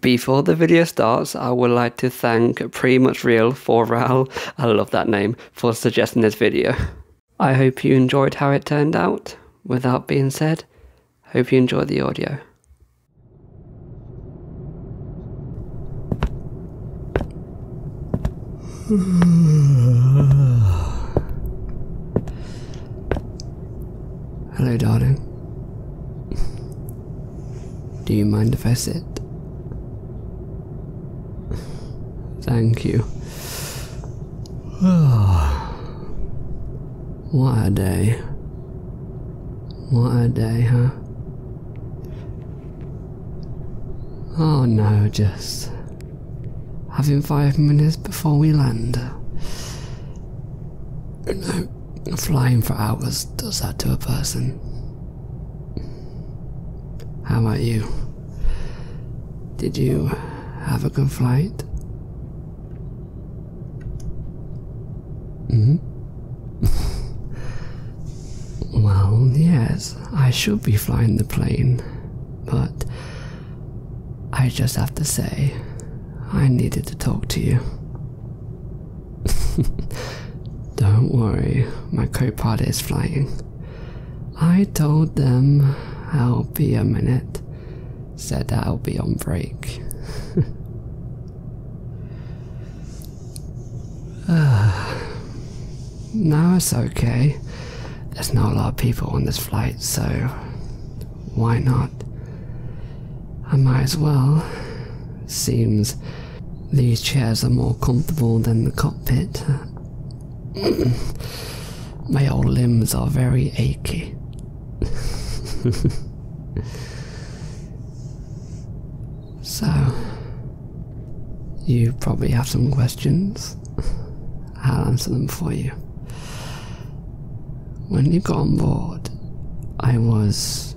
Before the video starts, I would like to thank Pretty Much Real for Ral, I love that name, for suggesting this video. I hope you enjoyed how it turned out. With that being said, hope you enjoy the audio. Hello, darling. Do you mind if I sit? Thank you. what a day. What a day, huh? Oh no, just having five minutes before we land. You know, flying for hours does that to a person. How about you? Did you have a good flight? hmm? well, yes, I should be flying the plane, but I just have to say, I needed to talk to you. Don't worry, my co-pilot is flying. I told them I'll be a minute. Said I'll be on break. Now it's okay. There's not a lot of people on this flight, so why not? I might as well. Seems these chairs are more comfortable than the cockpit. My old limbs are very achy. so, you probably have some questions. I'll answer them for you when you got on board, I was.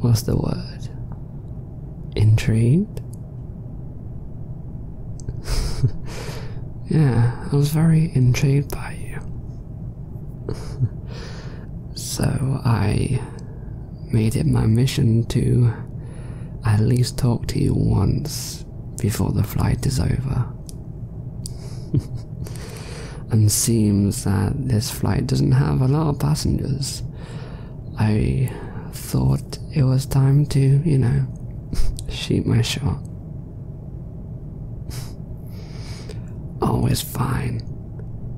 what's the word? Intrigued? yeah, I was very intrigued by you. so I made it my mission to at least talk to you once before the flight is over. and seems that this flight doesn't have a lot of passengers. I thought it was time to, you know, shoot my shot. Always fine.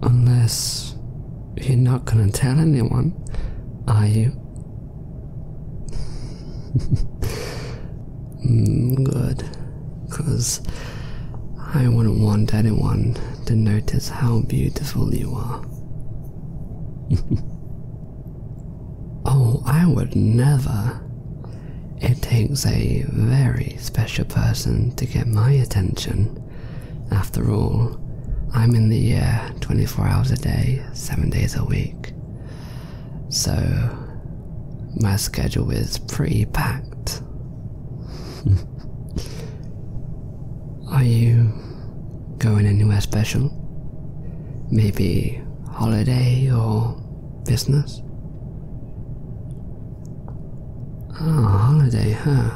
Unless you're not gonna tell anyone, are you? Mm, good, because I wouldn't want anyone to notice how beautiful you are. oh, I would never. It takes a very special person to get my attention. After all, I'm in the air 24 hours a day, 7 days a week. So, my schedule is pretty packed. Are you going anywhere special? Maybe holiday or business? Ah, oh, holiday, huh?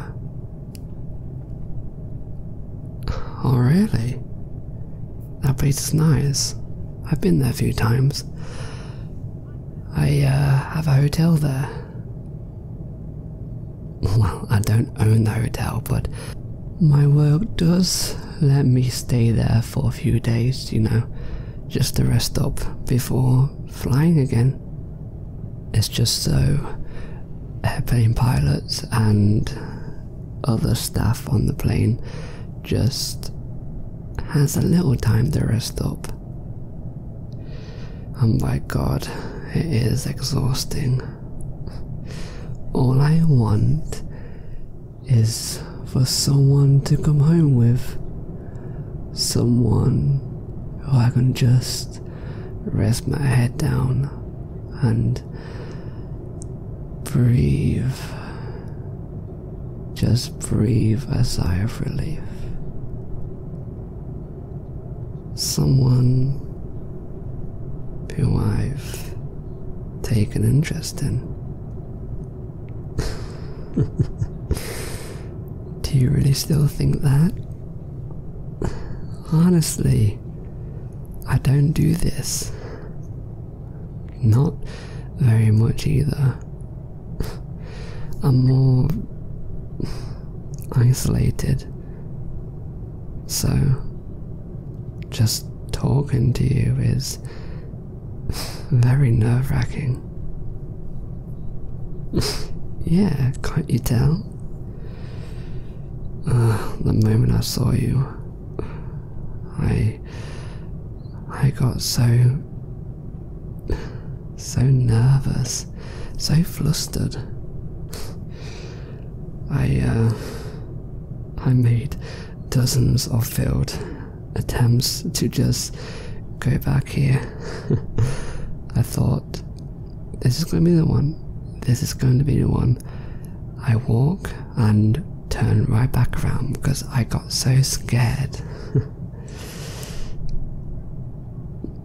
Oh, really? That place is nice. I've been there a few times. I uh, have a hotel there. Well, I don't own the hotel, but my work does let me stay there for a few days, you know, just to rest up before flying again. It's just so airplane pilots and other staff on the plane just has a little time to rest up. And by God, it is exhausting. All I want is for someone to come home with. Someone who I can just rest my head down and breathe just breathe a sigh of relief. Someone who I've taken interest in. Do you really still think that? Honestly, I don't do this. Not very much either. I'm more isolated. So, just talking to you is very nerve wracking. yeah, can't you tell? Uh, the moment I saw you, I I got so so nervous, so flustered. I, uh, I made dozens of failed attempts to just go back here. I thought, this is going to be the one, this is going to be the one. I walk and turn right back around because I got so scared.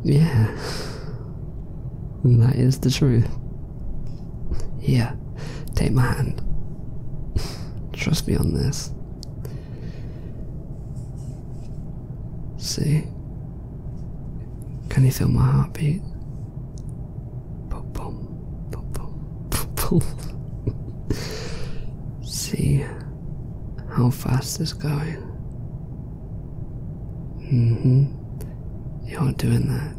Yeah. that is the truth. Yeah, take my hand. Trust me on this. See? Can you feel my heartbeat? boom, boom, boom, boom, boom see how fast it's going. Mm hmm. You're doing that.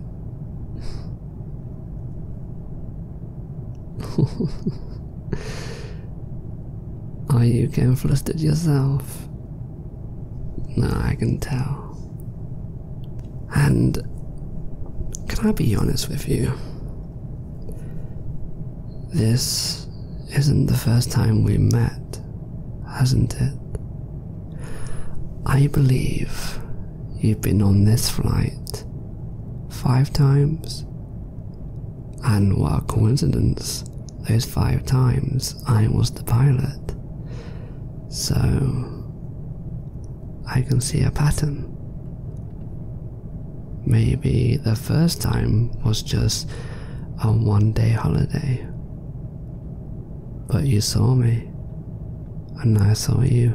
Are you getting flustered yourself? No, I can tell. And can I be honest with you? This isn't the first time we met, hasn't it? I believe you've been on this flight five times. And what a coincidence, those five times I was the pilot. So, I can see a pattern. Maybe the first time was just a one day holiday. But you saw me, and I saw you.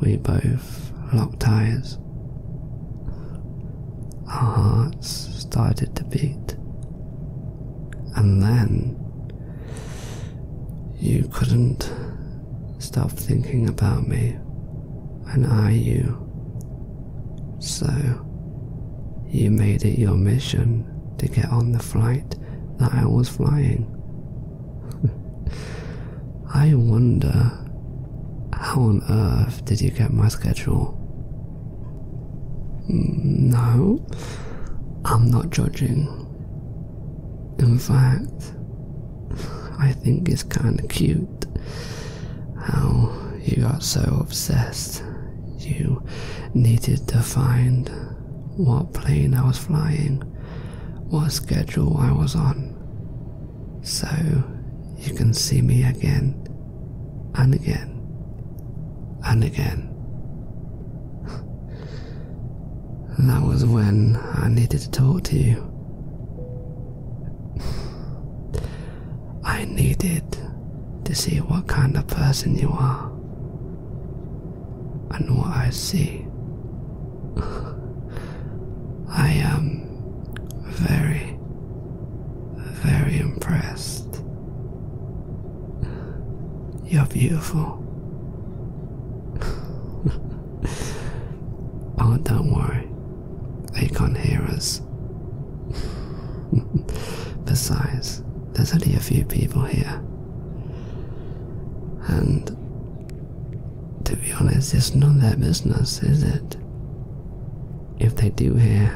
We both locked eyes. Our hearts started to beat. And then you couldn't Stop thinking about me and I you. So, you made it your mission to get on the flight that I was flying. I wonder how on earth did you get my schedule? Mm, no, I'm not judging. In fact, I think it's kind of cute how you got so obsessed you needed to find what plane I was flying, what schedule I was on, so you can see me again and again and again. and that was when I needed to talk to you. I needed to see what kind of person you are and what I see. I am very, very impressed. You're beautiful. oh, don't worry. They can't hear us. Besides, there's only a few people here. And to be honest, it's none of their business, is it? If they do hear,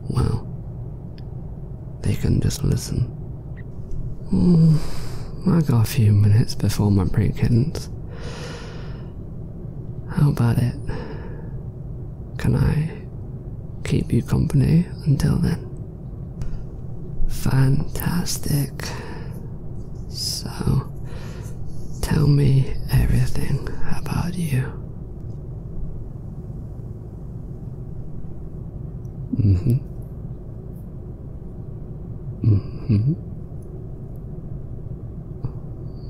well, they can just listen Mm, I got a few minutes before my break ends. How about it? Can I keep you company until then? Fantastic. So, tell me everything about you. hmm hmm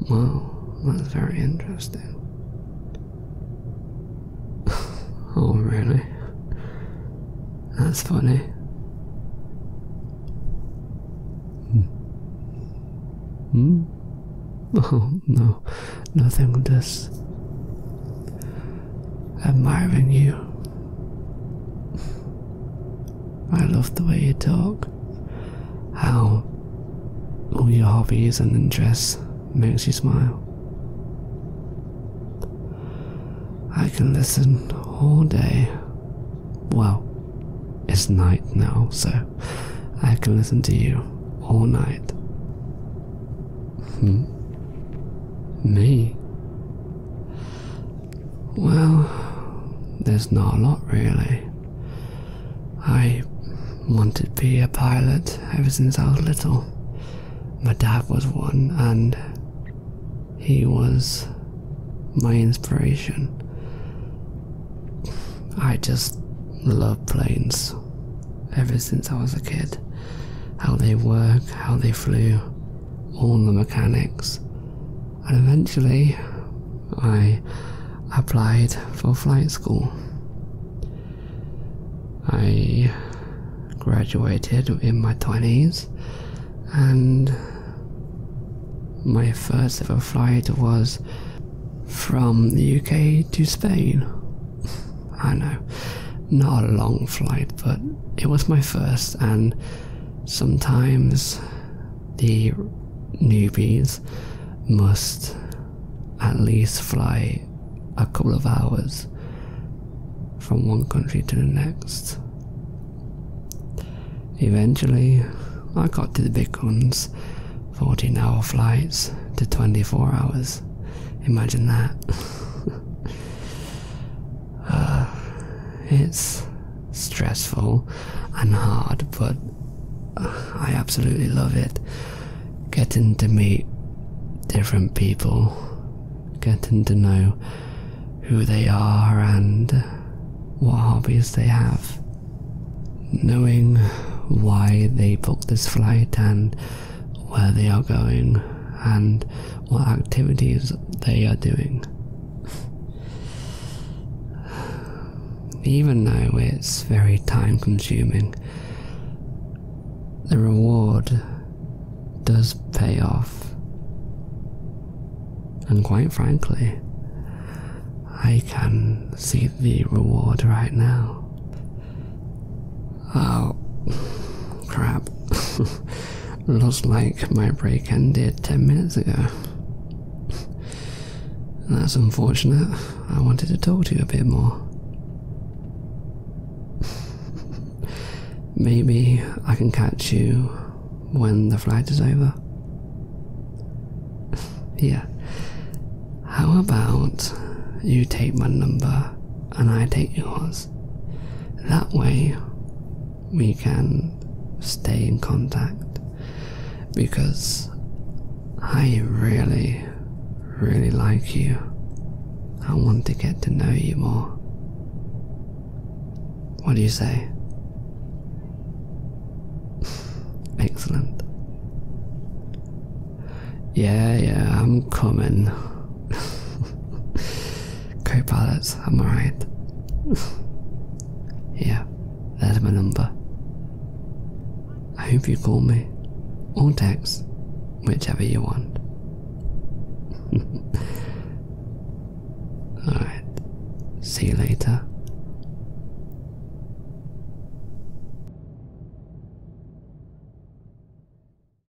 Wow, that's very interesting. oh, really? That's funny. Hmm? hmm? Oh, no, nothing, does. Admire in you. I love the way you talk. How all your hobbies and interests makes you smile. I can listen all day. Well, it's night now, so I can listen to you all night. Hmm. Me? Well, there's not a lot really. I wanted to be a pilot ever since I was little. My dad was one, and he was my inspiration. I just love planes ever since I was a kid. How they work, how they flew, on the mechanics, and eventually I applied for flight school. I graduated in my 20s, and my first ever flight was from the UK to Spain. I know, not a long flight, but it was my first, and sometimes the newbies must at least fly a couple of hours from one country to the next. Eventually, I got to the big ones 14 hour flights to 24 hours. Imagine that. it's stressful and hard, but uh, I absolutely love it. Getting to meet different people, getting to know who they are and what hobbies they have. Knowing why they booked this flight and where they are going and what activities they are doing. Even though it's very time consuming, the reward does pay off. And quite frankly, I can see the reward right now. Oh, crap. Looks like my break ended 10 minutes ago. That's unfortunate. I wanted to talk to you a bit more. Maybe I can catch you when the flight is over. yeah. How about you take my number and I take yours? That way, we can stay in contact because I really, really like you. I want to get to know you more. What do you say? Excellent. Yeah, yeah, I'm coming. co-pilot, am I right? yeah, there's my number. I hope you call me or text, whichever you want. Alright, see you later.